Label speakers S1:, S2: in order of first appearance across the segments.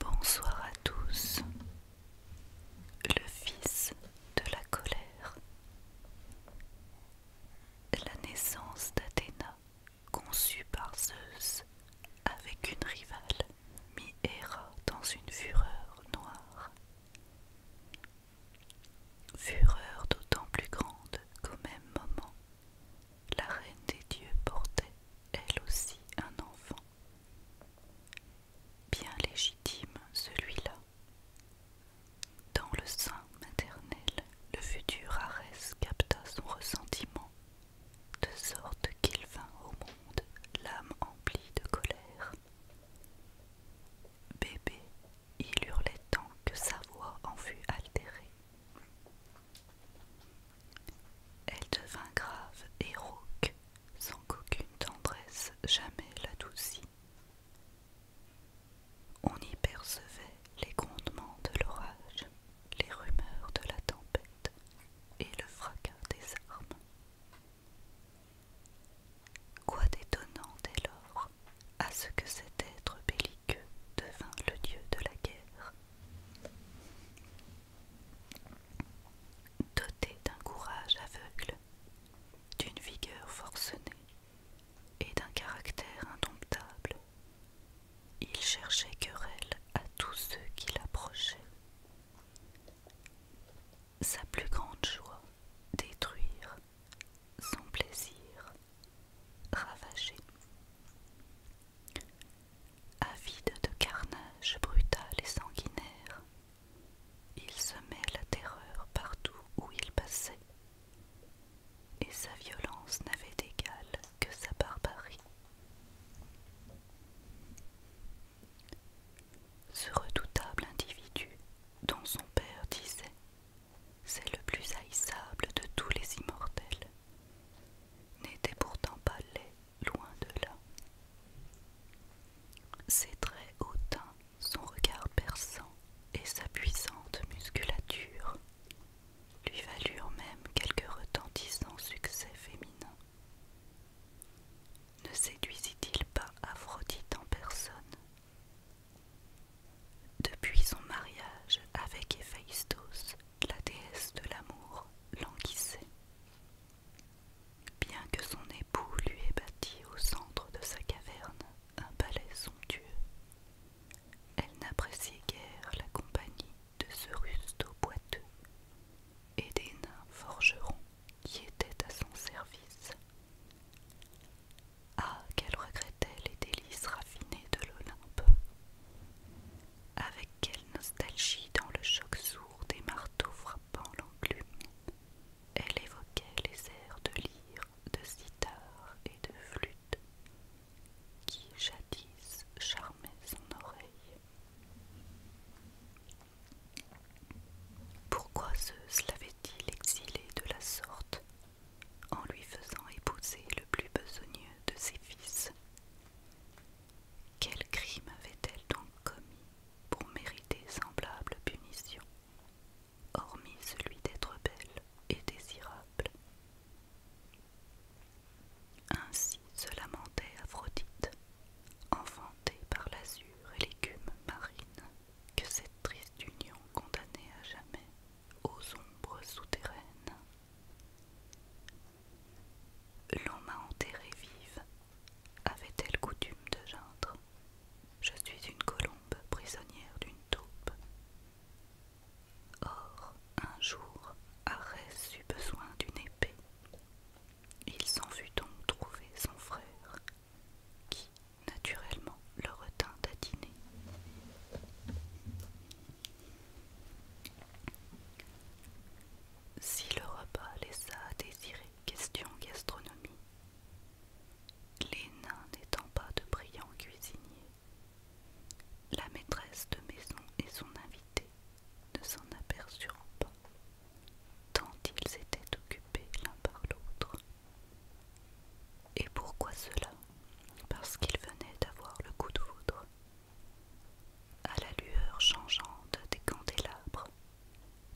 S1: Bonsoir à tous. Le fils de la colère. La naissance d'Athéna, conçue par Zeus avec une rivale, mit Héra dans une fureur noire. Fureur d'autant plus grande qu'au même moment, la reine des dieux portait, elle aussi, un enfant. Bien légitime celui-là. Dans le sein maternel, le futur Arès capta son ressentiment, de sorte qu'il vint au monde l'âme emplie de colère Bébé, il hurlait tant que sa voix en fut altérée. Elle devint grave et rauque, sans qu'aucune tendresse jamais l'adoucît. On y percevait les grondements de l'orage, les rumeurs de la tempête et le fracas des armes. Quoi d'étonnant dès lors à ce que cet être belliqueux devint le dieu de la guerre Doté d'un courage aveugle, d'une vigueur forcenée et d'un caractère indomptable, il cherchait querelle à tous ceux qui l'approchaient. Sa plus grande joie détruire, son plaisir, ravager. Avide de carnage brutal et sanguinaire, il semait la terreur partout où il passait, et sa violence n'avait d'égal que sa barbarie. Ce redoutable individu dont son père disait C'est le plus haïssable de tous les immortels n'était pourtant pas laid, loin de là. Ses traits hautains, son regard perçant et sa puissante musculature lui valurent même quelques retentissants succès féminins. Ne séduisit-il pas Aphrodite en personne Depuis son mariage avec Héphaïstos, la déesse de l'amour languissait. Bien que son époux lui ait bâti au centre de sa caverne un palais somptueux, elle n'appréciait guère la compagnie de ce rusto boiteux et des nains forgerons qui étaient à son service. Ah, qu'elle regrettait les délices raffinées de l'Olympe! Avec quelle nostalgie, dans le choc sourd des marteaux frappant l'enclume, elle évoquait les airs de lyre, de sitar et de flûte qui jadis charmaient son oreille. Pourquoi Zeus l'avait-il exilé de la sorte en lui faisant épouser le plus besogneux de ses fils Quel crime avait-elle donc commis pour mériter semblable punition, hormis celui d'être belle et désirable Ainsi se lamentait Aphrodite Enfantée par l'azur et l'écume marine, que cette triste union condamnait à jamais aux ombres souterraines. L'on m'a enterrée vive, avait-elle coutume de geindre Je suis une colombe prisonnière d'une taupe. Or, un jour, Arès eut besoin d'une épée, il s'en fut donc trouvé son frère, qui, naturellement, le retint à dîner. Si le repas laissa à désirer question gastronomie, les nains n'étant pas de brillants cuisiniers, la maîtresse de maison et son invité ne s'en aperçurent pas, tant ils étaient occupés l'un par l'autre. Et pourquoi cela Parce qu'ils venaient d'avoir le coup de foudre. À la lueur changeante des candélabres,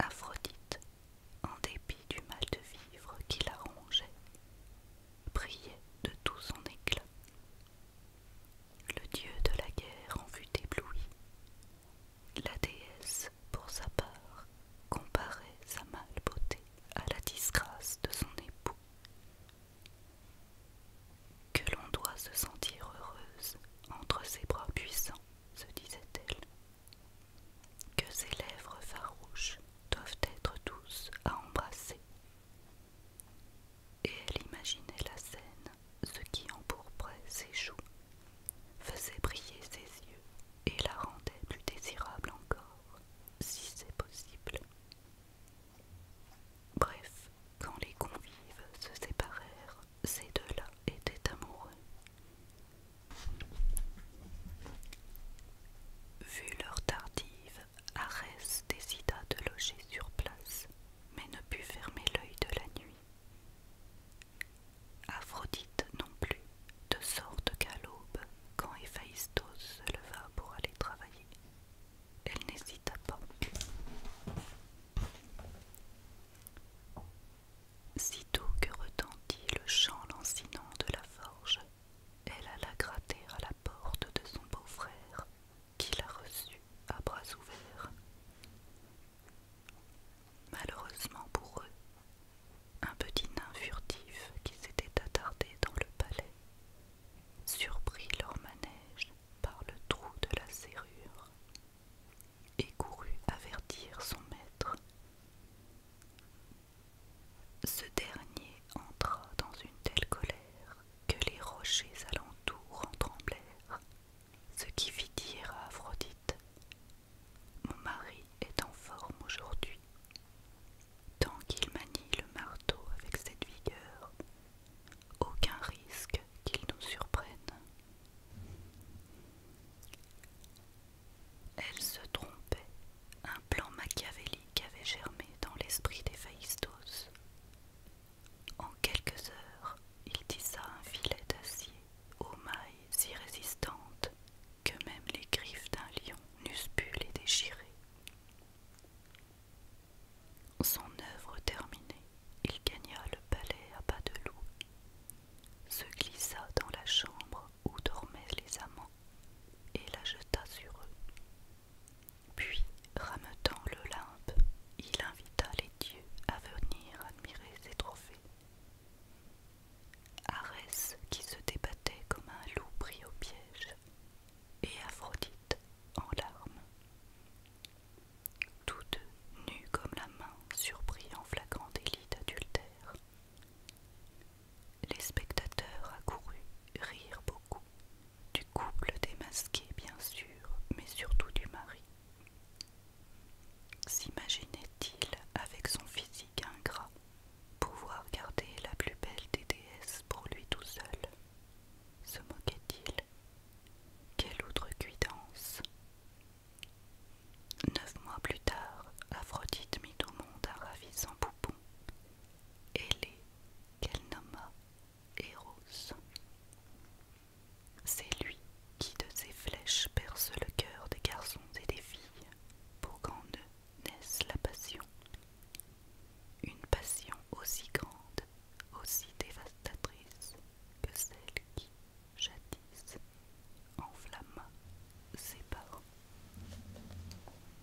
S1: Aphrodite, en dépit du mal de vivre qui la rongeait, brillait de tout son éclat. Le dieu de la guerre en fut ébloui. La déesse, pour sa part, comparait sa mâle beauté à la disgrâce de son époux. Que l'on doit se sentir heureuse entre ses bras puissants, se disait-elle. Que ses lèvres farouches doivent être douces à embrasser. Et elle imaginait la scène ce qui empourprait ses joues, faisait briller ses yeux et la rendait plus désirable encore, si c'est possible. Bref, quand les convives se séparèrent, ces deux-là étaient amoureux. Vu leur tardive, Arès décida de loger sur place mais ne put fermer l'œil de la nuit. Aphrodite non plus, de sorte qu'à l'aube, quand Héphaïstos se leva pour aller travailler, elle n'hésita pas. Sitôt que retentit le chant lancinant de la forge, elle alla gratter à la porte de son beau-frère qui l'a reçu à bras ouverts. Malheureusement pour eux, un petit nain furtif qui s'était attardé dans le palais surprit leur manège par le trou de la serrure et courut avertir son maître. Ce dernier entra dans une telle colère que les rochers alentour en tremblèrent, ce qui fit dire à Aphrodite Mon mari est en forme aujourd'hui. Tant qu'il manie le marteau avec cette vigueur, aucun risque qu'il nous surprenne. Elle se trompait, un plan machiavélique avait germé dans l'esprit Faïstos. En quelques heures, il tissa un filet d'acier aux mailles si résistantes que même les griffes d'un lion n'eussent pu les déchirer. Son œuvre terminée, il gagna le palais à bas de loup, se glissa dans la chambre où dormaient les amants et la jeta sur eux. Puis, rameutant l'Olympe, il invita les dieux à venir admirer ses trophées. Arès, qui se débattait comme un loup pris au piège, et Aphrodite en larmes. Tous deux, nus comme la main, surpris en flagrant délit d'adultère. Les spectateurs accourus rirent beaucoup. Du couple démasqué, bien sûr, mais surtout du mari. S'imaginait-il, avec son physique ingrat, pouvoir garder la plus belle des déesses pour lui tout seul Se moquait-il Quelle autre guidance Neuf mois plus tard, Aphrodite mit au monde un ravissant poupon, ailé qu'elle nomma c'est lui qui de ses flèches perce le cœur des garçons et des filles pour qu'en eux naisse la passion. Une passion aussi grande, aussi dévastatrice que celle qui, jadis, enflamma ses parents.